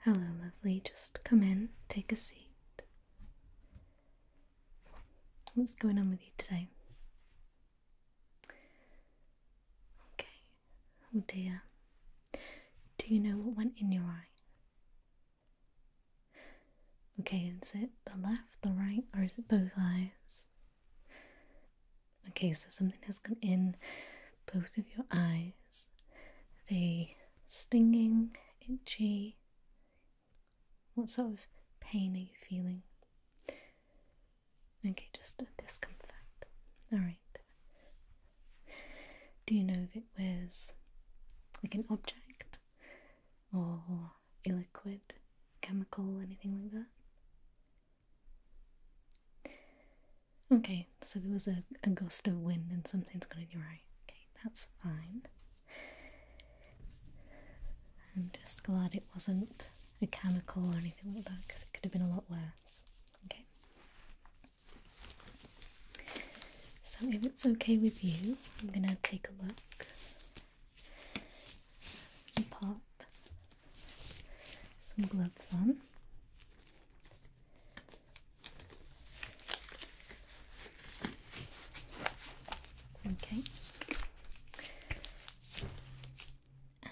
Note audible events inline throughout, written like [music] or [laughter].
Hello, lovely. Just come in, take a seat. What's going on with you today? Okay. Oh dear. Do you know what went in your eye? Okay, is it the left, the right, or is it both eyes? Okay, so something has come in both of your eyes the stinging, itchy? What sort of pain are you feeling? Okay, just a discomfort. Alright. Do you know if it was like an object or a liquid, chemical, anything like that? Okay, so there was a, a gust of wind and something's got in your eye. Okay, that's fine. I'm just glad it wasn't a chemical or anything like that because it could have been a lot worse. Okay. So, if it's okay with you, I'm going to take a look and pop some gloves on. Okay.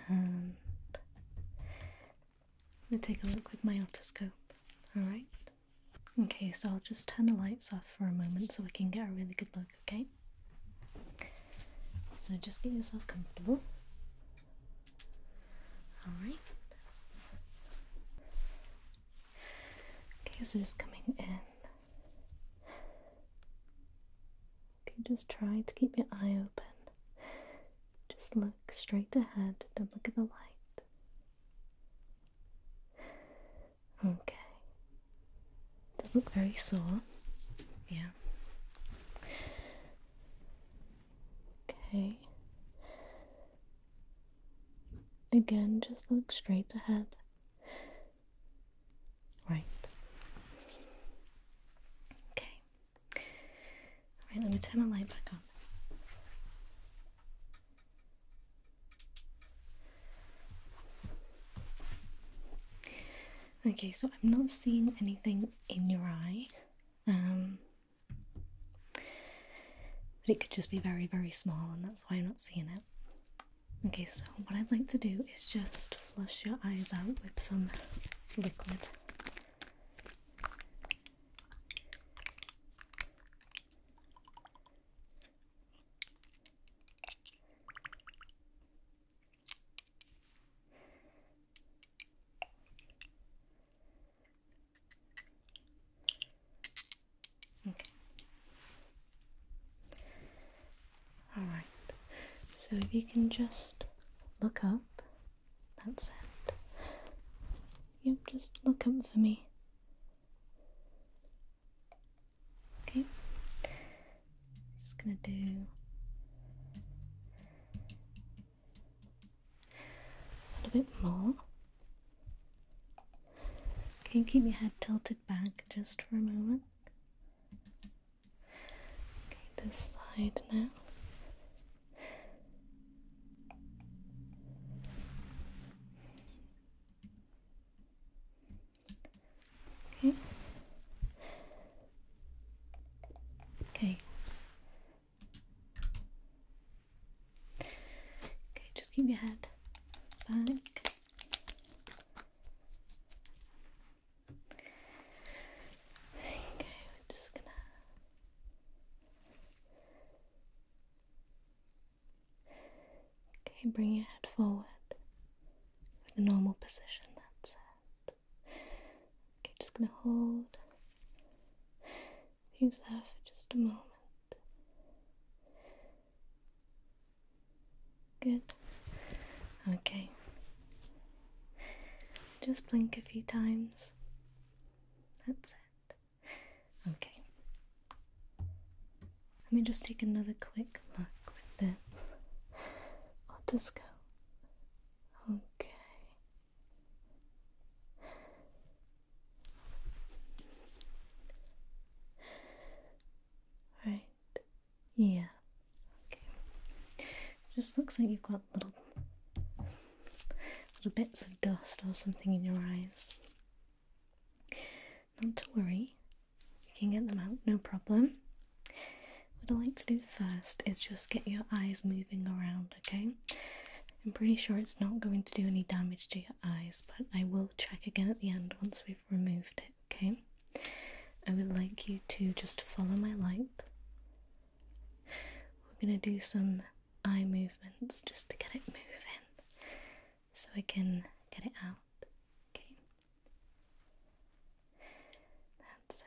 And I'm take a look with my otoscope, alright? Okay, so I'll just turn the lights off for a moment so we can get a really good look, okay? So just get yourself comfortable. Alright. Okay, so just coming in. Okay, just try to keep your eye open. Just look straight ahead, don't look at the light. Okay. Does look very sore. Yeah. Okay. Again, just look straight ahead. Right. Okay. Alright, let me turn the light back on. Okay, so I'm not seeing anything in your eye. Um, but it could just be very, very small, and that's why I'm not seeing it. Okay, so what I'd like to do is just flush your eyes out with some liquid. Okay. Alright, so if you can just look up, that's it. Yep, just look up for me. Okay, just gonna do a little bit more. Can you keep your head tilted back just for a moment? Okay, this side now. Okay. Okay. Okay, just keep your head back. Okay, we're just gonna. Okay, bring your head forward for the normal position, that's it. Okay, just gonna hold these there for just a moment. Good. Okay. Just blink a few times. That's it. Okay. Let me just take another quick look with this otoscope. Okay. Right. Yeah. Okay. just looks like you've got little little bits of dust or something in your eyes. Not to worry. You can get them out, no problem. What I like to do first is just get your eyes moving around, okay? I'm pretty sure it's not going to do any damage to your eyes, but I will check again at the end once we've removed it, okay? I would like you to just follow my light. We're going to do some eye movements just to get it moving so I can get it out. Okay. That's it.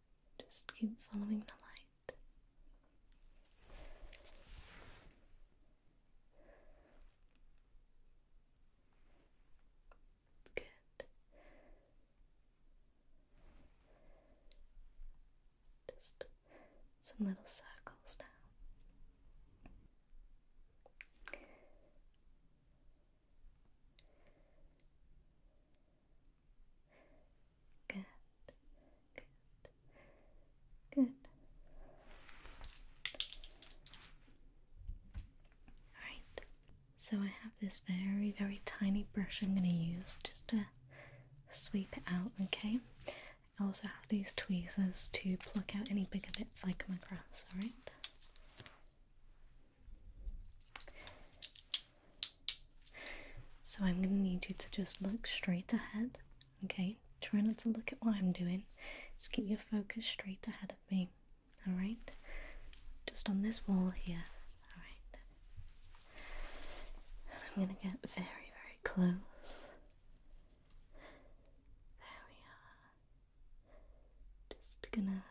Just keep following the light. Good. Just some little circles now. Good, good, good. Alright, so I have this very, very tiny brush I'm going to use just to sweep it out, okay? I also have these tweezers to pluck out any bigger bits like my grass. alright? So I'm going to need you to just look straight ahead, okay? Try not to look at what I'm doing. Just keep your focus straight ahead of me, alright? Just on this wall here, alright? And I'm going to get very, very close. There we are. Just gonna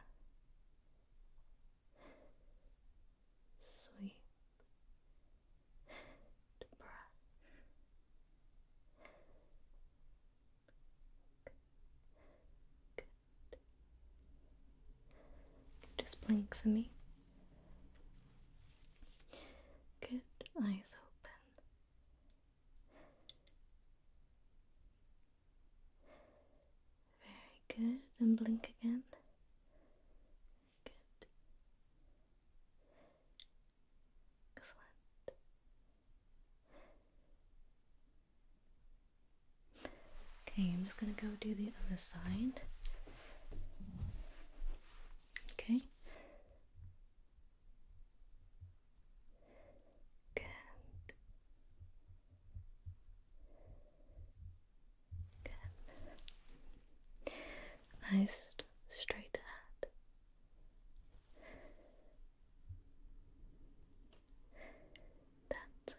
sweep to good just blink for me good eyes open very good. And blink again. Good. Excellent. Okay, I'm just going to go do the other side. Okay. Good. Nice, straight ahead. That's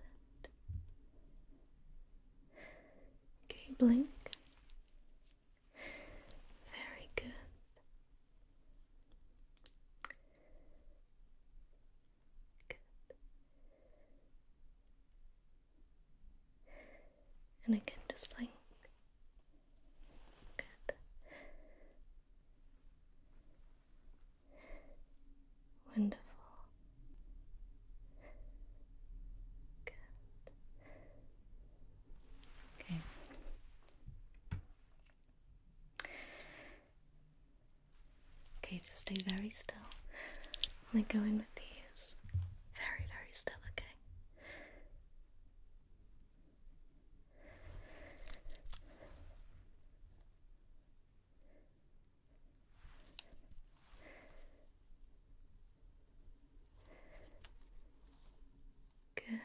it. blink? Very good. Good. And again, just blink. Good. Wonderful. Good. Okay. Okay, just stay very still. i go in with these. Very, very still, okay? Good.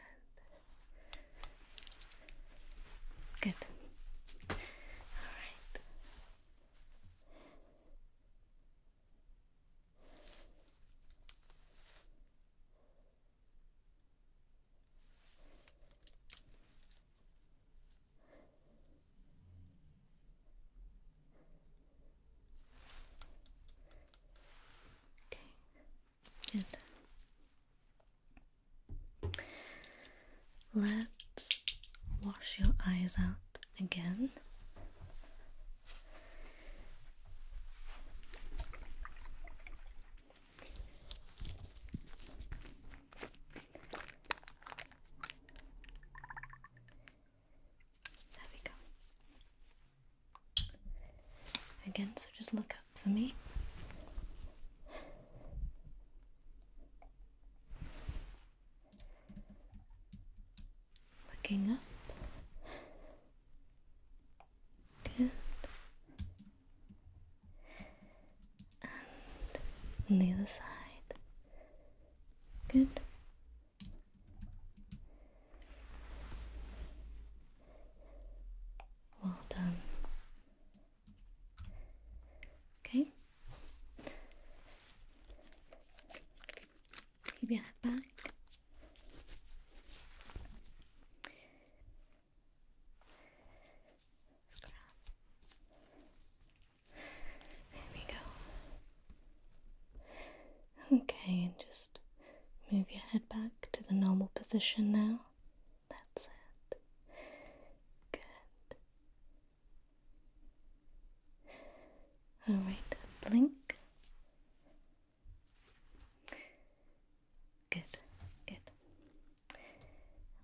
Good. All right. Okay. Good. Let's wash your eyes out again. There we go. Again, so just look up for me? Looking up. Good. And the other side. Good. Well done. Okay. Keep your head back. There we go. Okay, and just move your head back to the normal position now. That's it. Good. Alright, blink. Good, good.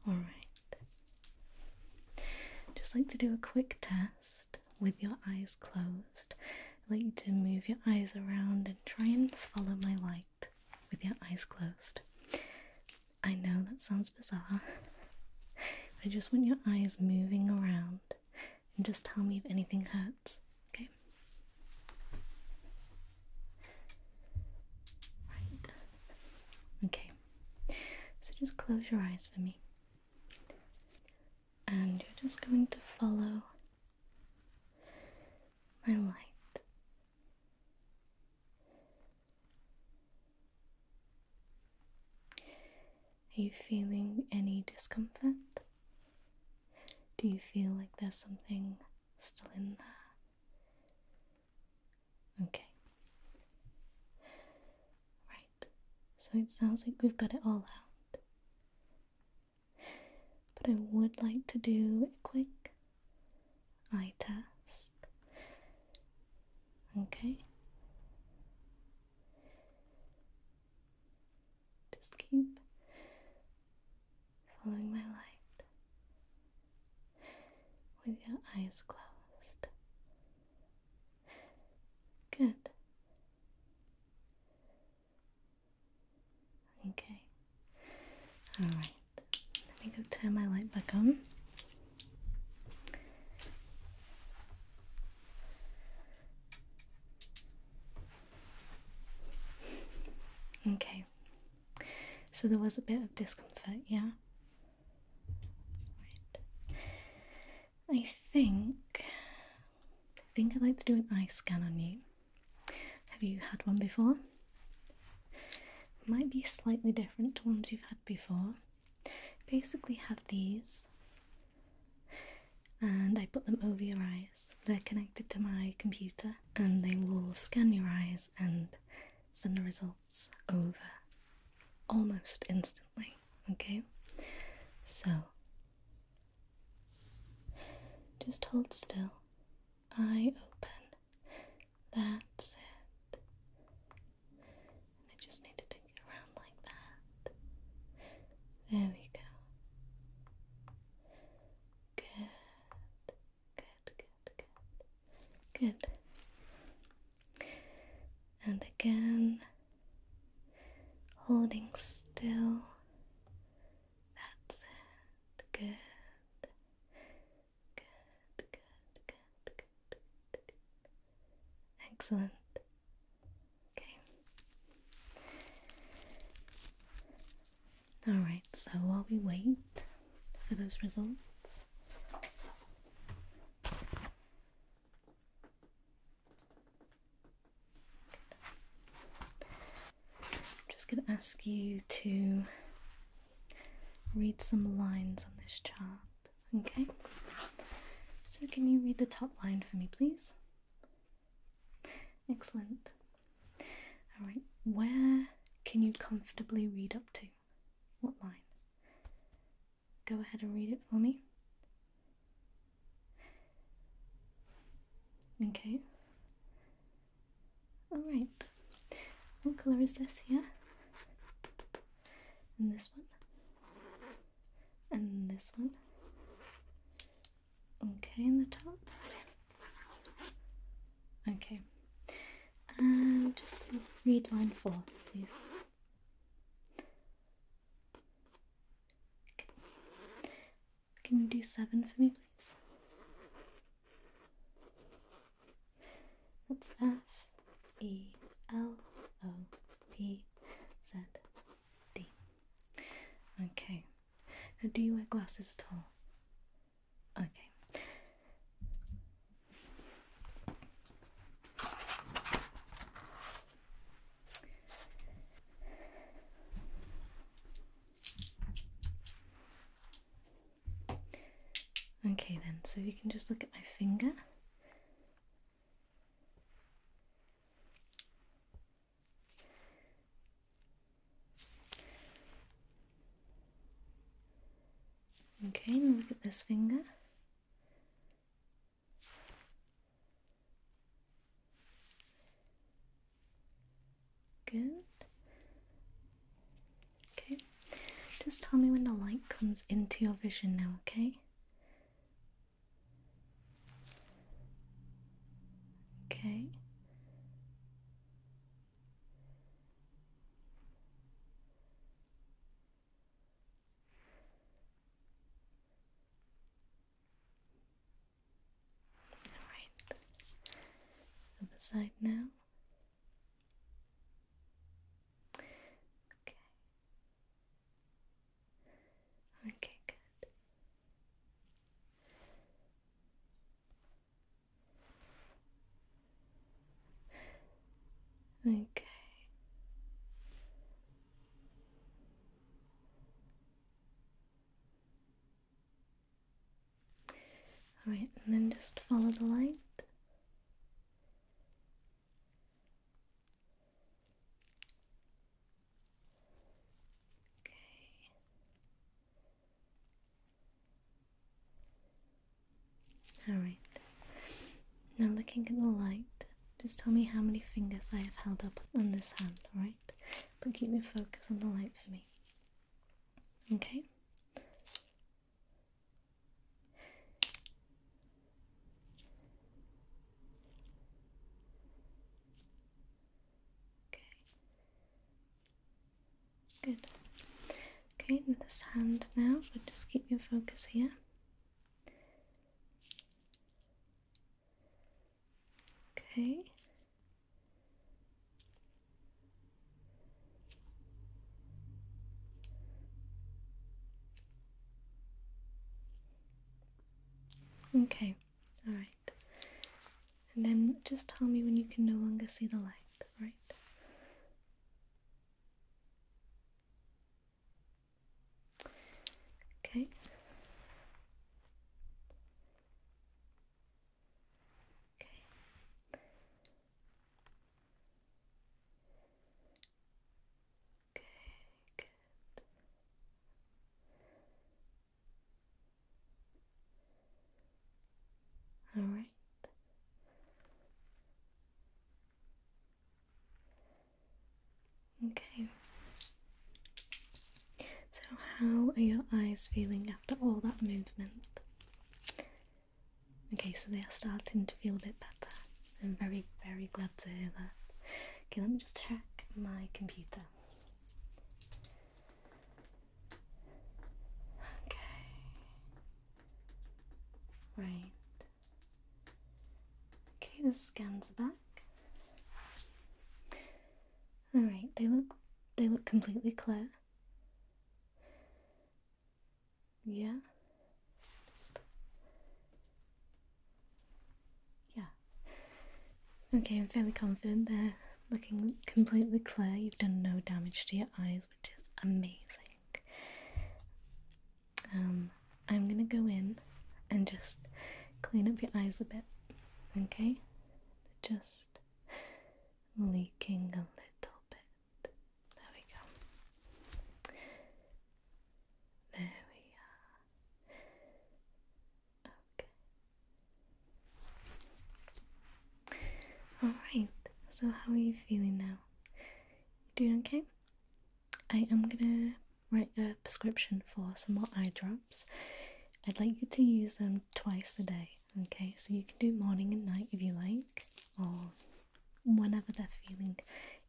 Alright. Just like to do a quick test with your eyes closed. I'd like you to move your eyes around and try and follow my light with your eyes closed. I know that sounds bizarre. I just want your eyes moving around and just tell me if anything hurts, okay? Right. Okay. So just close your eyes for me. And you're just going to follow my light are you feeling any discomfort? Do you feel like there's something still in there? Okay. Right, so it sounds like we've got it all out. But I would like to do a quick I test. Okay. Just keep following my light with your eyes closed. Good. Okay. Alright. Let me go turn my light back on. Okay. So there was a bit of discomfort, yeah? Right. I think I think I'd like to do an eye scan on you. Have you had one before? Might be slightly different to ones you've had before. Basically, have these, and I put them over your eyes. They're connected to my computer, and they will scan your eyes and send the results over almost instantly. Okay, so just hold still eye open. That's it. I just need to take around like that. There we go. Good, good, good, good, good. And again, holding still. That's it. Good. Good, good, good, Excellent. Okay. Alright, so while we wait for those results, I'm just going to ask you to read some lines on this chart. Okay? So, can you read the top line for me, please? Excellent. Alright, where can you comfortably read up to? What line? Go ahead and read it for me. Okay. Alright, what color is this here? And this one? And this one? Okay, in the top. Okay, and just read line four, please. Can you do seven for me, please? That's F E L O P Z D. Okay. Now, do you wear glasses at all? Okay. Okay, then, so if you can just look at my finger. Okay, look at this finger. Good. Okay. Just tell me when the light comes into your vision now, okay? Okay. Alright. Other side now. Okay. Okay, good. Okay. Alright, and then just follow the light. Okay. Alright. Now looking at the light, just tell me how many fingers I have held up on this hand, alright? but keep your focus on the light for me. Okay? Okay. Good. Okay, this hand now, but just keep your focus here. Okay. Okay, all right. And then just tell me when you can no longer see the light, right? Okay. Okay. Okay, good. All right. Okay. So, how are your eyes feeling after all that movement? Okay, so they are starting to feel a bit better. I'm very, very glad to hear that. Okay, let me just check my computer. Okay. Right. Okay, the scan's back. All right, they look they look completely clear. Yeah. Yeah. Okay, I'm fairly confident they're looking completely clear. You've done no damage to your eyes, which is amazing. Um, I'm gonna go in and just clean up your eyes a bit okay? just leaking a little bit. There we go. There we are. Okay. Alright, so how are you feeling now? You doing okay? I am gonna write a prescription for some more eye drops. I'd like you to use them twice a day, okay? So you can do morning and night if you like, or whenever they're feeling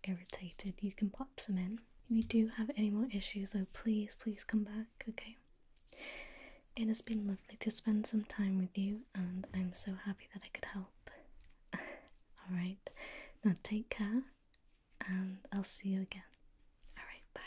irritated, you can pop some in. If you do have any more issues, though, please, please come back, okay? It has been lovely to spend some time with you, and I'm so happy that I could help. [laughs] Alright, now take care, and I'll see you again. Alright, bye.